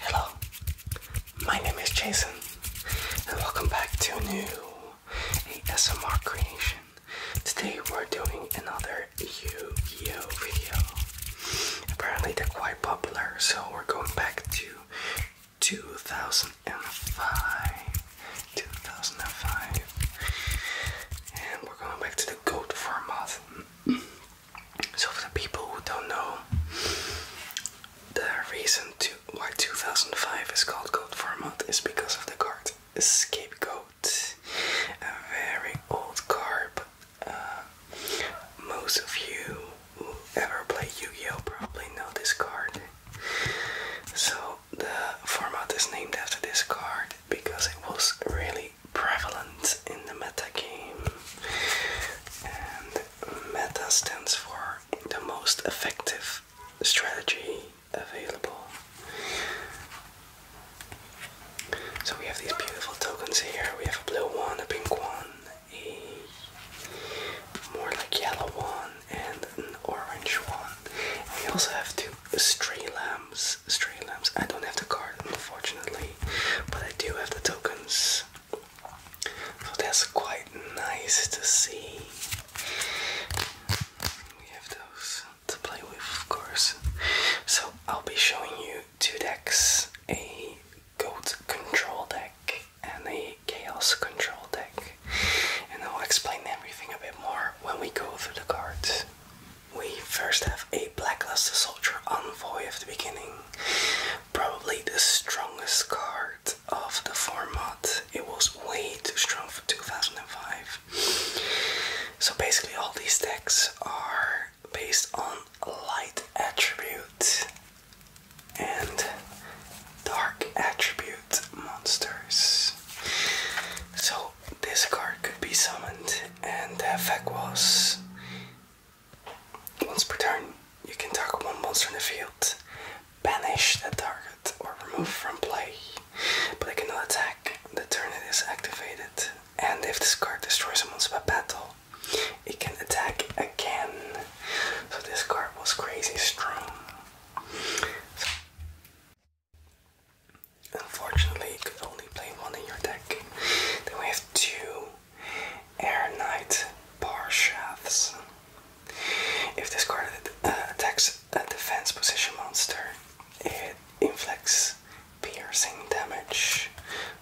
Hello, my name is Jason, and welcome back to a new ASMR creation. Today we're doing another yu gi video. Apparently they're quite popular, so we're going back to 2005. 2005. And we're going back to the GOAT format. So for the people who don't know the reason to why 2005 is called Goat Format is because of the card Scapegoat. A very old card, uh, most of you who ever played Yu-Gi-Oh! probably know this card. So the format is named after this card because it was really prevalent in the meta game. And meta stands for the most effective strategy available. So we have these beautiful tokens here. We have a blue one, a pink one, a more like yellow one, and an orange one. we also have two stray lamps six lamps. I don't have the cards, unfortunately, but I do have the tokens. So that's quite nice to see. We have those to play with, of course. So I'll be showing you two decks a goat control deck and a chaos control deck. And I'll explain everything a bit more when we go through the cards. We first have a Blackluster Soldier Envoy of the beginning. Probably the strongest card of the format. It was way too strong for 2005. So basically, all these decks are based on light attribute and dark attribute monsters. So this card could be summoned, and the effect was once per turn, you can target one monster in the field, banish that target, or remove from play, but it cannot attack the turn it is activated. And if this card destroys a monster by battle, it can attack again. So this card was crazy strong. Unfortunately, you could only play one in your deck. Then we have two Air Knight Bar Shafts. If this card uh, attacks a defense position monster, it inflicts piercing damage.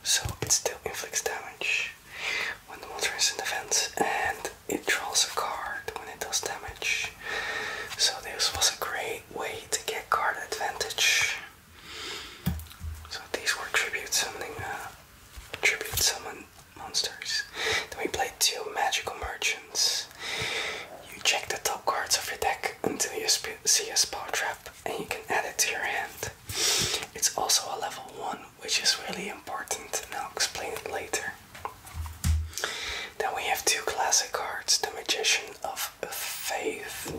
So it still inflicts damage when the monster is in defense, and it draws a card when it does damage. So this was a great way to get card advantage. So these were tribute summoning, uh, tribute summon monsters. Then we play two magical merchants. You check the top cards of your deck until you see a spell trap, and you can add it to your hand. It's also a level one, which is really important, and I'll explain it later. Then we have two classic cards: the Magician of Faith.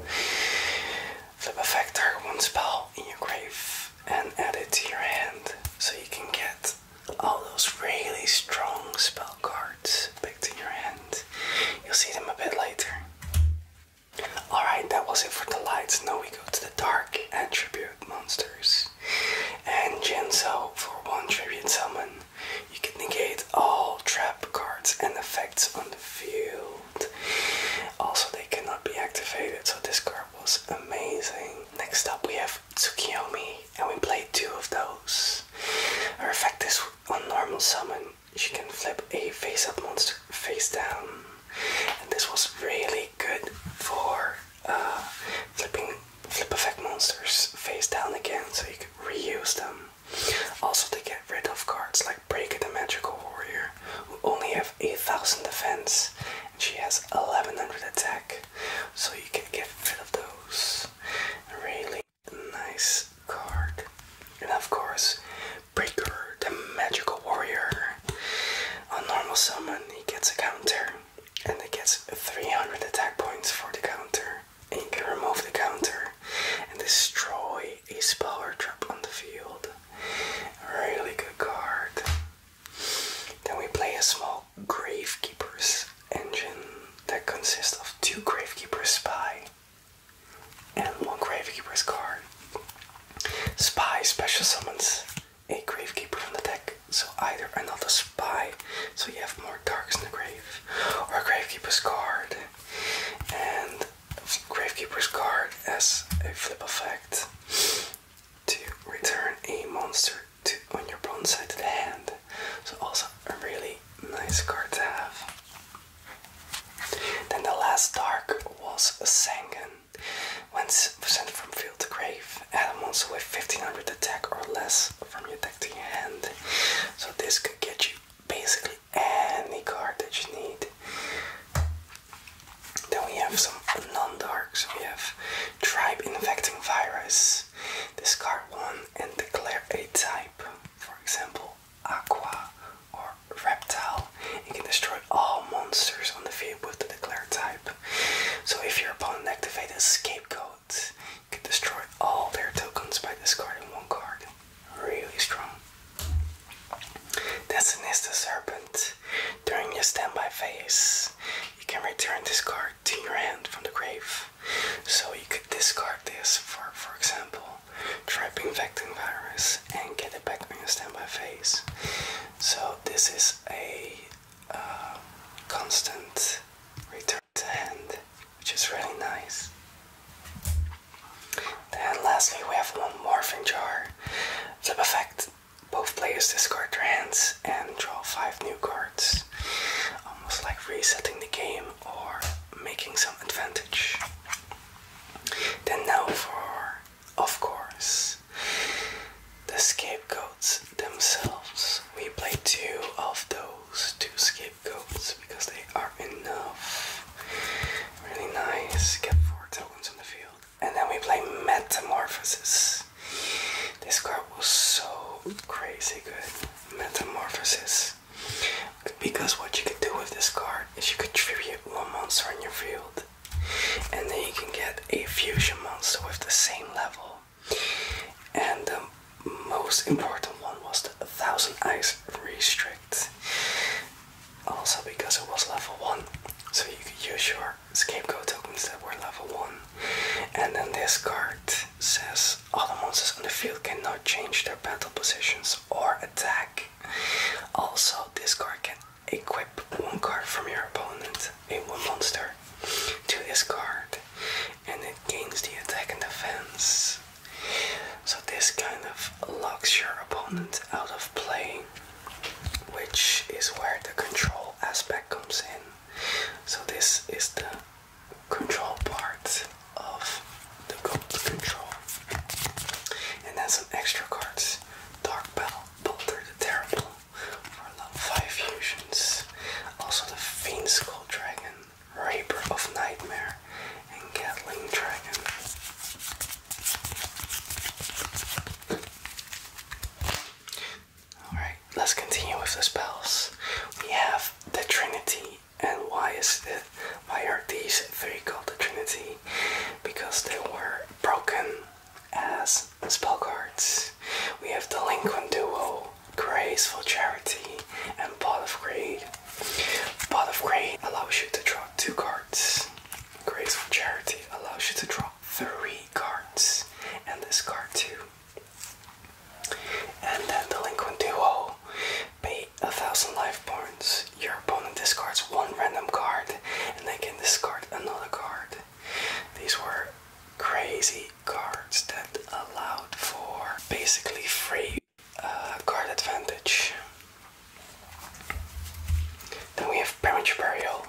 Flip a factor one spell in your grave and add it to your hand so you can get all those really strong spell cards picked to your hand. You'll see them a bit later. Alright, that was it for the lights. Now we go to the dark attribute monsters. And Genso, for one tribute summon, you can negate all trap cards and effects on the field. Also, they cannot be activated, so this card was amazing. Next up, we have Tsukiyomi, and we played two of those. Her effect is on normal summon, she can flip a face up monster face down, and this was really good for uh, flipping flip effect monsters face down again, so you can reuse them. Also, to get rid of cards like Breaker the Magical Warrior, who only have 8,000 defense and she has 1100 attack, so you can get rid of those. Really nice card. And of course, Breaker the Magical Warrior. On normal summon, he gets a counter and he gets 300 attack points for the counter. And you can remove the counter and destroy Ace Power Trap on the field. Really good card. Then we play a small Gravekeeper's engine that consists of two Gravekeeper's Spy and one Gravekeeper's card. Spy special summons a Gravekeeper from the deck, so either another Spy, so you have more Darks in the Grave, or a Gravekeeper's card. And Gravekeeper's card as a flip effect to return a monster to on your opponent's side to the hand. So also a really nice card to have. Then the last dark was a Sangen. When sent from field to grave, add a monster with 1500 attack or less from your deck to your hand. So this could get you basically any card that you need. Then we have some non-darks. We have Tribe Infecting Virus. Discard one and declare a type. For example, Aqua or Reptile. You can destroy all monsters on the field with the declared type. So if your opponent activates a Scapegoat, you can destroy all their tokens by discarding one card really strong. That's an Nesta Serpent. During your standby phase, you can return this card to your hand from the grave. So you could discard this for, for example, trapping Vectin Virus and get it back on your standby phase. So this is a uh, constant return to hand which is really nice. Then lastly we have one Morphin Jar. Flip effect. Both players discard their hands and draw five new cards. Almost like resetting the game or making some advantage. Then now for, of course, the scapegoats themselves. We play two of those those two scapegoats because they are enough. Really nice. Get four tokens on the field. And then we play Metamorphosis. This card was so crazy good. Metamorphosis. Because what you could do with this card is you could tribute one monster in your field. And then you can get a fusion monster with the same level. And the most important one was the Thousand Eyes Restrain. Also because it was level 1, so you could use your scapegoat tokens that were level 1. And then this card says all the monsters on the field cannot change their battle positions or attack. Also, this card can equip one card from your opponent, a one monster, to this card, and it gains the attack and defense so this kind of locks your opponent out of play, which is where the control aspect comes in. So this is the control part of the gold control. And then some extra cards. Dark Battle, Boulder the Terrible, 5 fusions. Also the Fiend Skull Dragon, Raper of Nightmare, and Gatling Dragon. Alright, let's continue with the spells. We have the Trinity, and why is it why are these three called the Trinity? Because they were broken as spell cards. We have Delinquent Duo, Graceful Charity, and Pot of Greed. Pot of Greed allows you to draw two cards. Graceful Charity allows you to draw three cards, and this card too. And then Delinquent Duo. Pay a thousand life points. Your opponent discards one random card, and they can discard another card. These were crazy cards that allowed for basically free uh, card advantage. Then we have Premature Burial.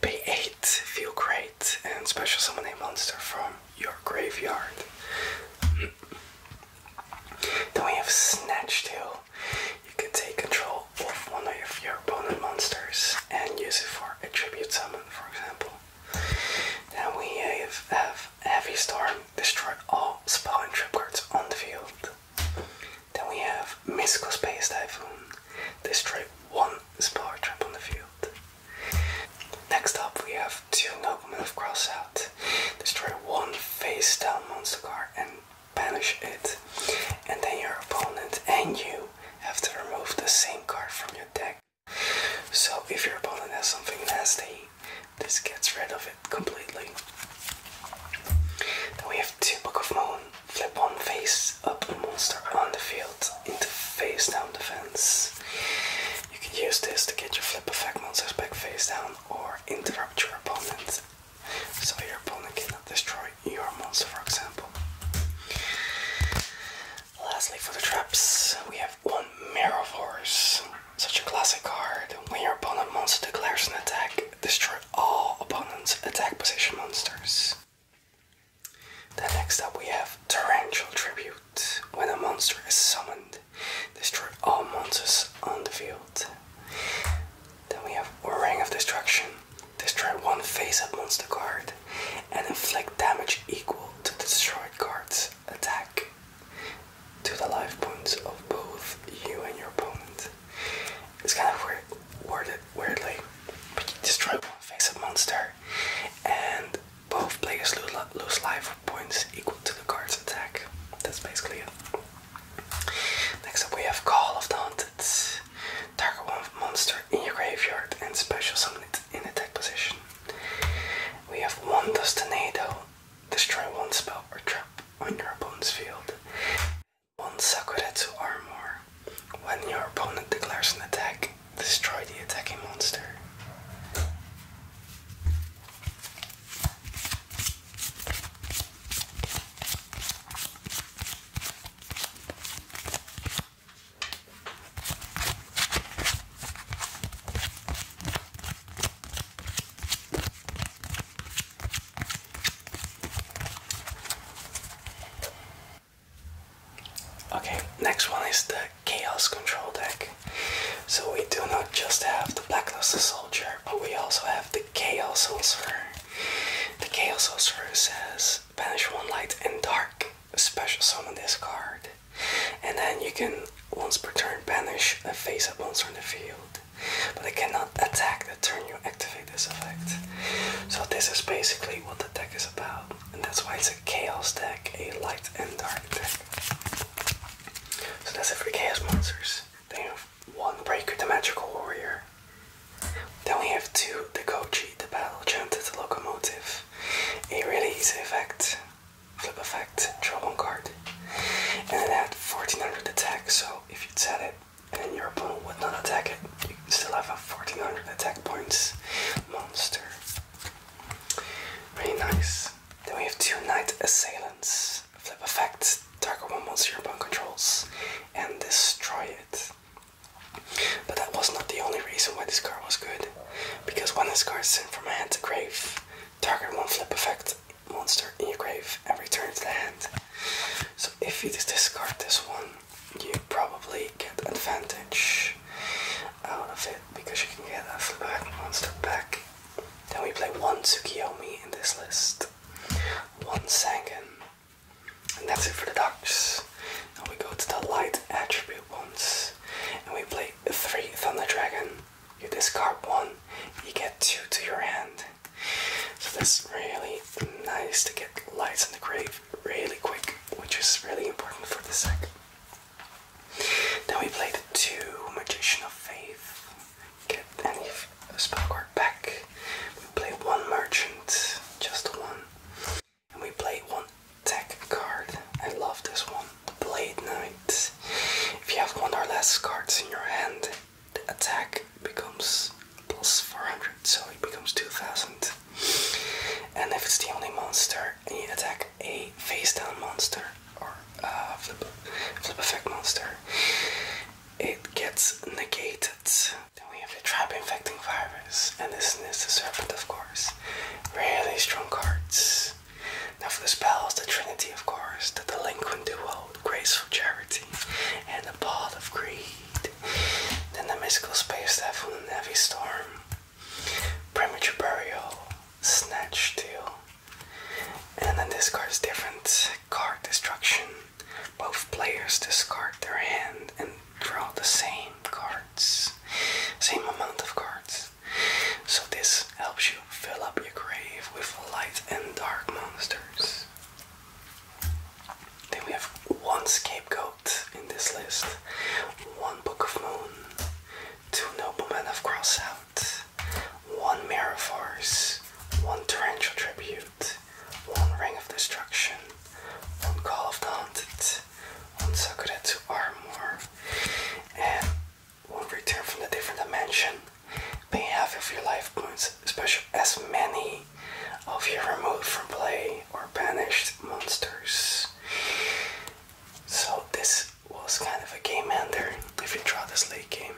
Pay 8, feel great, and special summon a monster from your graveyard. then we have Snatch Tail. You can take control of one of your opponent monsters and use it for a tribute summon, for example. Then we have Heavy Storm destroys all spell and trip cards on the field. Then we have Mystical Space Typhoon, destroys one spell or trap on the field. Next up, we have two move cross out destroys one face down monster card and banish it. And then your opponent and you have to remove the same card from your deck. So if your opponent has something nasty, this gets rid of it completely. Then we have two Book of Moon. Flip one face up monster on the field into face down the fence. You can use this to get your flip effect monster back face down or interrupt your opponent. So your opponent cannot destroy your monster, for example. Lastly, for the traps, we have one Mirror Force. Such a classic card. When your opponent monster declares an attack, destroy all opponent's attack position monsters. Then next up we have Torrential Tribute. When a monster is summoned, destroy all monsters on the field. Then we have Ring of Destruction. Destroy one face-up monster card and inflict damage equal to the destroyed card's attack to the life points of both you and your opponent. It's kind of weird, worded weirdly, but you destroy one face of monster, and both players lose, life points equal to the card's attack. That's basically it. Next up, we have Call of the Haunted. Target one monster in your graveyard and special summon it in attack position. We have one Dust Tornado. Destroy one spell or trap on your opponent's field. One Sakuretsu armor. When your opponent declares an attack, destroy the attacking monster. Okay, next one is the Chaos Control deck. So we do not just have the Blackluster Soldier, but we also have the Chaos Sorcerer. The Chaos Sorcerer says banish one light and dark, special summon this card. And then you can, once per turn, banish a face up once on the field. But it cannot attack the turn you activate this effect. So this is basically what the deck is about. And that's why it's a chaos deck, a light and dark deck. So that's it for the chaos monsters. Then have one Breaker, the Magical Warrior. Then we have two, the Kochi, the Battle champ, the Locomotive. A really easy effect flip effect, draw one card. And it had 1400 attack, so if you set it and your opponent would not attack it, you still have a 1400 attack points monster. Pretty nice. Then we have two Knight Assailants. Flip effect, target one monster your opponent controls and destroy it. But that was not the only reason why this card was good, because when this card is sent from my hand to grave, Target one flip effect monster in your grave and return to the hand. So if you discard this one, you probably get advantage out of it because you can get a flip monster back. Then we play one Tsukiyomi in this list, one Sangen, and that's it for the ducks. Now we go to the light attribute ones, and we play three Thunder Dragon, you discard one, you get two to your hand. So that's really nice to get lights in the grave really quick, which is really important for this deck. Then we play two Magician of Faith. Get any spell card back. We play one merchant, just one. And we play one Attack card. I love this one. The Blade Knight. If you have one or less cards in your hand, the attack becomes plus 400, so it becomes 2000. And if it's the only monster, you attack a face down monster or a flip, effect monster, it gets negated. Then we have a trap infecting virus, and this is the serpent, of course. Really strong cards. Now for the spells, the Trinity, of course, the Delinquent Duo, Graceful Charity, and the Ball of Greed. Then the Mystical Space Staff from the Navy Storm, Premature Burial, Snatch Deal, and then discards different card destruction. Both players discard their hand and draw the same card. Same amount of cards. So this helps you fill up your grave with light and dark monsters. Then we have one scapegoat in this list, one book of moon, two nobleman of crossout, one mirror force, one torrential tribute, one ring of destruction, one call of the hunted, one to armor, and will return from the different dimension, pay half of your life points, especially as many of your removed from play or banished monsters. So this was kind of a game ender if you draw this late game.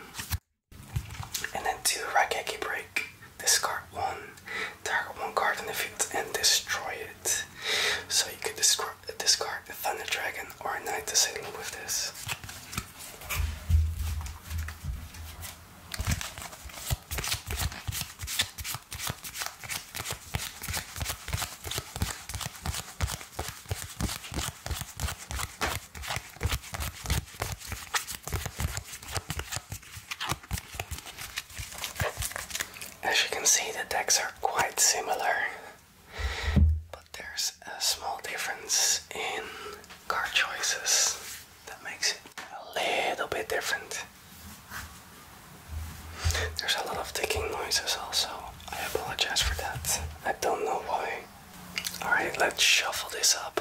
And then two Rakeki break. Discard one, target one card in the field and destroy it. So you could destroy discard a Thunder Dragon or a Knight to sail with this. As you can see, the decks are quite similar. But there's a small difference in car choices that makes it a little bit different. There's a lot of ticking noises also. I apologize for that. I don't know why. Alright, let's shuffle this up.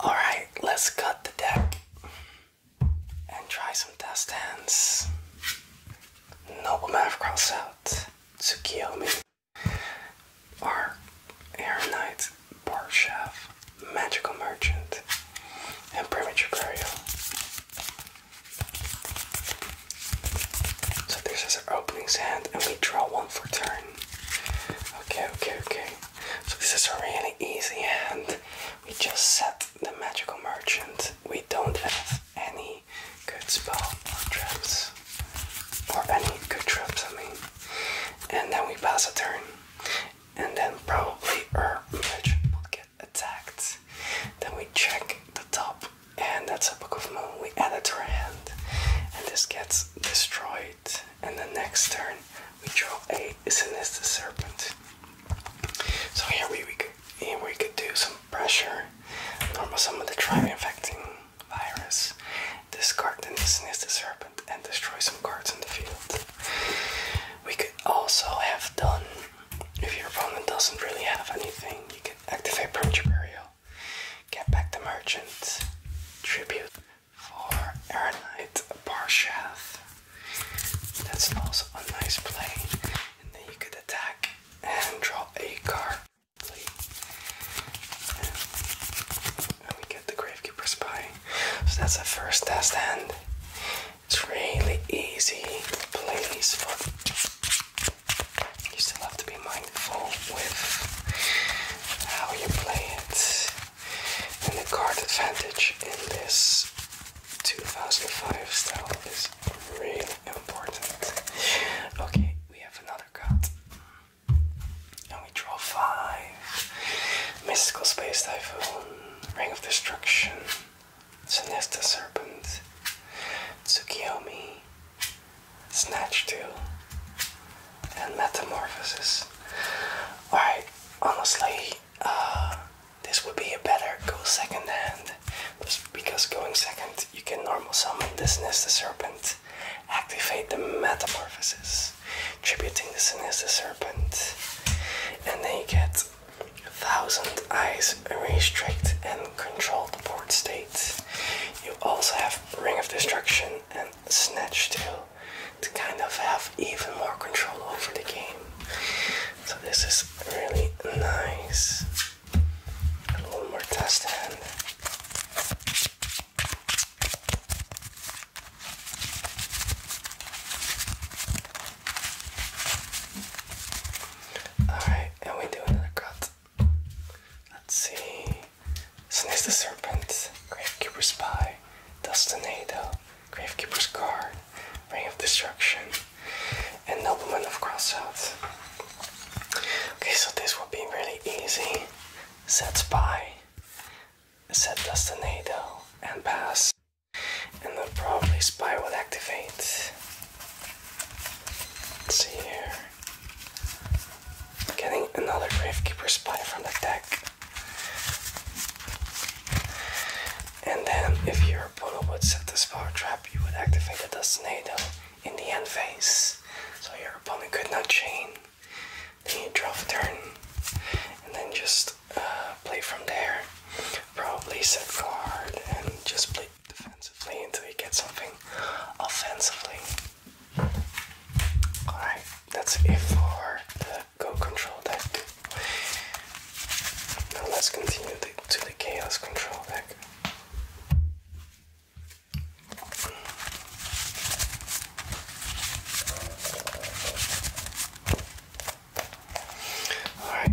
All right, let's cut the deck and try some test hands. Noble Man of Cross out, me are air Knight, Bar Chef, Magical Merchant, and Premature Burial. So this is our opening's hand, and we draw one for turn. Okay, okay, okay. So this is a really easy hand. We just set the Magical Merchant. We don't have any good spell or traps trips, or any good trips, I mean, and then we pass a turn, and then probably our village will get attacked. Then we check the top, and that's a book of moon. We add it to our hand, and this gets destroyed. And the next turn, we draw a sinister serpent. So here we, we could, here we could do some pressure, normal of the tribe infecting virus. This card then sniffs the serpent and destroy some cards in the field. We could also have done, if your opponent doesn't really have anything, you could activate Permature Burial, get back the merchant, tribute for Aeronite Barshath. That's also a nice play. And then you could attack and draw a card. And we get the Gravekeeper's Spy. So that's the first test hand. It's really easy, please. you still have to be mindful with how you play it. And the card advantage in this 2005 style is really important. Okay, we have another card. And we draw five. Mystical Space Typhoon, Ring of Destruction, Sinesta Serpent, Tsukiyomi, Snatch 2, and Metamorphosis. Alright, honestly, uh, this would be a better go second hand. Because going second, you can normal summon this Nesta Serpent activate the metamorphosis, tributing the sinister serpent. And then you get Thousand Eyes a restrict and control the port state. You also have Ring of Destruction and Snatch Tail to kind of have even more control over the game. So this is really nice. one more test Alright, and we do another cut. Let's see. Sniss the Serpent, Gravekeeper's Spy, Dustinado, Gravekeeper's Guard, Ring of Destruction, and Nobleman of Crossouts. Okay, so this will be really easy. Set spy, set Dustinado, and pass. And the probably spy would activate. Let's see here. Getting another Gravekeeper spy from the deck. And then if your opponent would set this power trap, you would activate the Dustinado in the end phase. So your opponent could not chain. Then you draw a turn, and then just uh, play from there. Probably set guard and just play defensively until you get something offensively. Alright, that's it for the Go Control deck. Now let's continue to the Chaos Control deck. All right,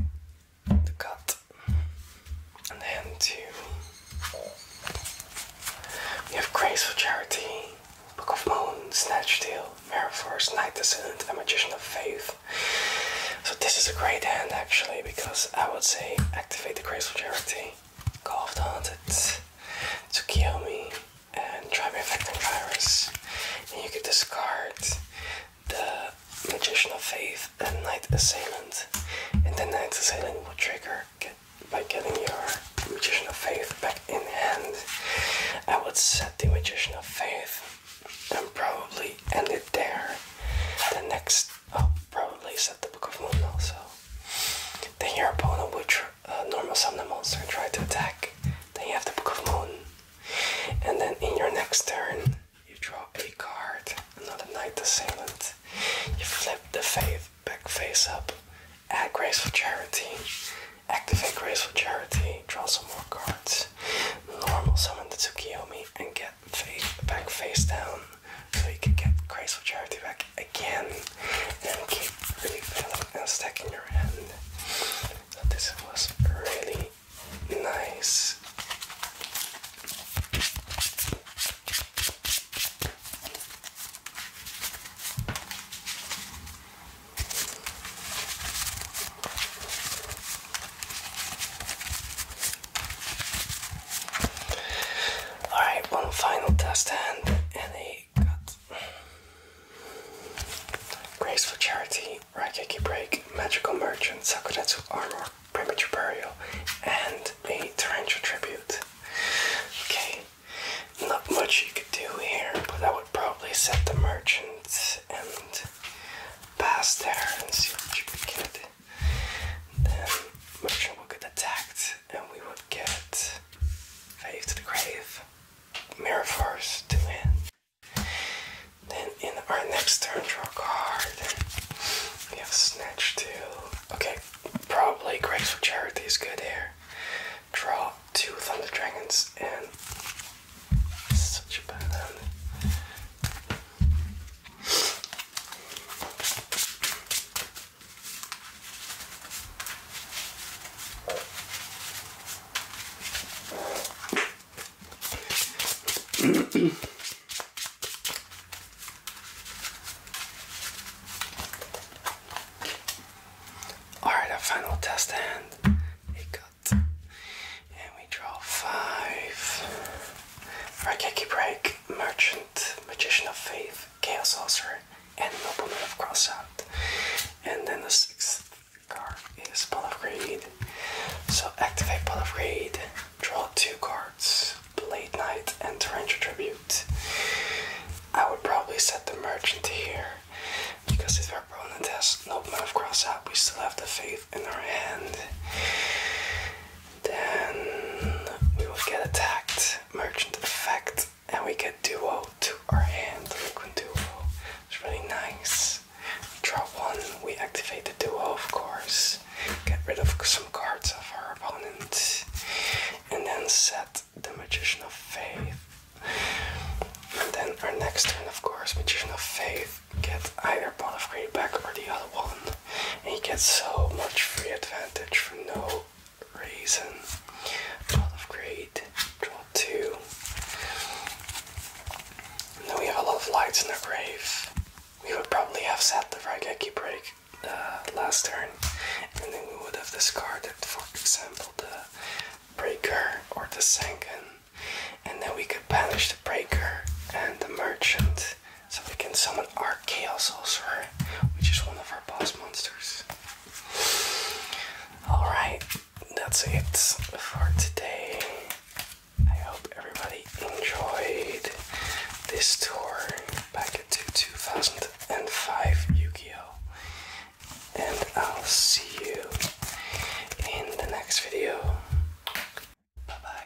the cut, and then two. We have Grace for Charity, Book of Moon, Snatch Deal, Mirror Force, Night Descendant, and Magician of Faith. So this is a great hand actually because I would say activate the Grace for Charity. Coughed Haunted to kill me and try Tribeeffect Virus. And you could discard the Magician of Faith and Night Assailant. And the Night Assailant will trigger by getting your Magician of Faith back in hand. I would set the Magician of Faith and probably end it there. The next, I'll oh, probably set the Book of Moon also. Then your opponent will uh, normal summon the monster and try to attack. Then you have the Book of Moon. And then in your next turn, you draw a card, another Knight Assailant. You flip the faith back face up, add Grace for Charity, activate Grace for Charity, draw some more cards, normal summon the Tsukiyomi, and get faith back face down so you can get Christ Charity back again. And keep filling and stacking your hand. this was really nice. Alright, one final test hand and a cut. Grace for Charity, Raikiki Break, Magical Merchant, Sakura Sakuretsu Armor, Premature Burial, and a Tarantula Tribute. Okay, not much you could do here, but I would probably set the merchant and pass there and see what you get then Merchant would get attacked and we would get Faith to the Grave, Mirror Force to win. Then in our next turn, draw a card. We have Snatch too. Okay, probably Grace for Charity is good here. Draw two Thunder Dragons and such a bad hand. All right, our final test hand. and we draw five. Rakeki break, merchant, magician of faith. Chaos Ulcer, and Nobleman of Crossout. And then the sixth card is Pull of Greed. So activate Pull of Greed, draw two cards, Blade Knight and Torrential Tribute. I would probably set the Merchant here, because if our opponent has Nobleman of Crossout, we still have the Faith in our hand. Then we will get attacked. Merchant effect. And we get duo to our hand. Liquid duo. It's really nice. We draw one, we activate the duo of course. Get rid of some cards of our opponent. And then set the Magician of Faith. And then our next turn, of course, Magician of Faith, get either Ball of Greed back or the other one and you get so much free advantage for no reason. Draw of great, draw two. then we have a lot of lights in the grave. We would probably have set the Raigeki break uh, last turn, and then we would have discarded, for example, the breaker or the Senken, and then we could banish the breaker and the merchant so we can summon our Chaos Sorcerer, which is one of our boss monsters. Alright, that's it for today. I hope everybody enjoyed this tour back into 2005 Yu Gi Oh! And I'll see you in the next video. Bye bye.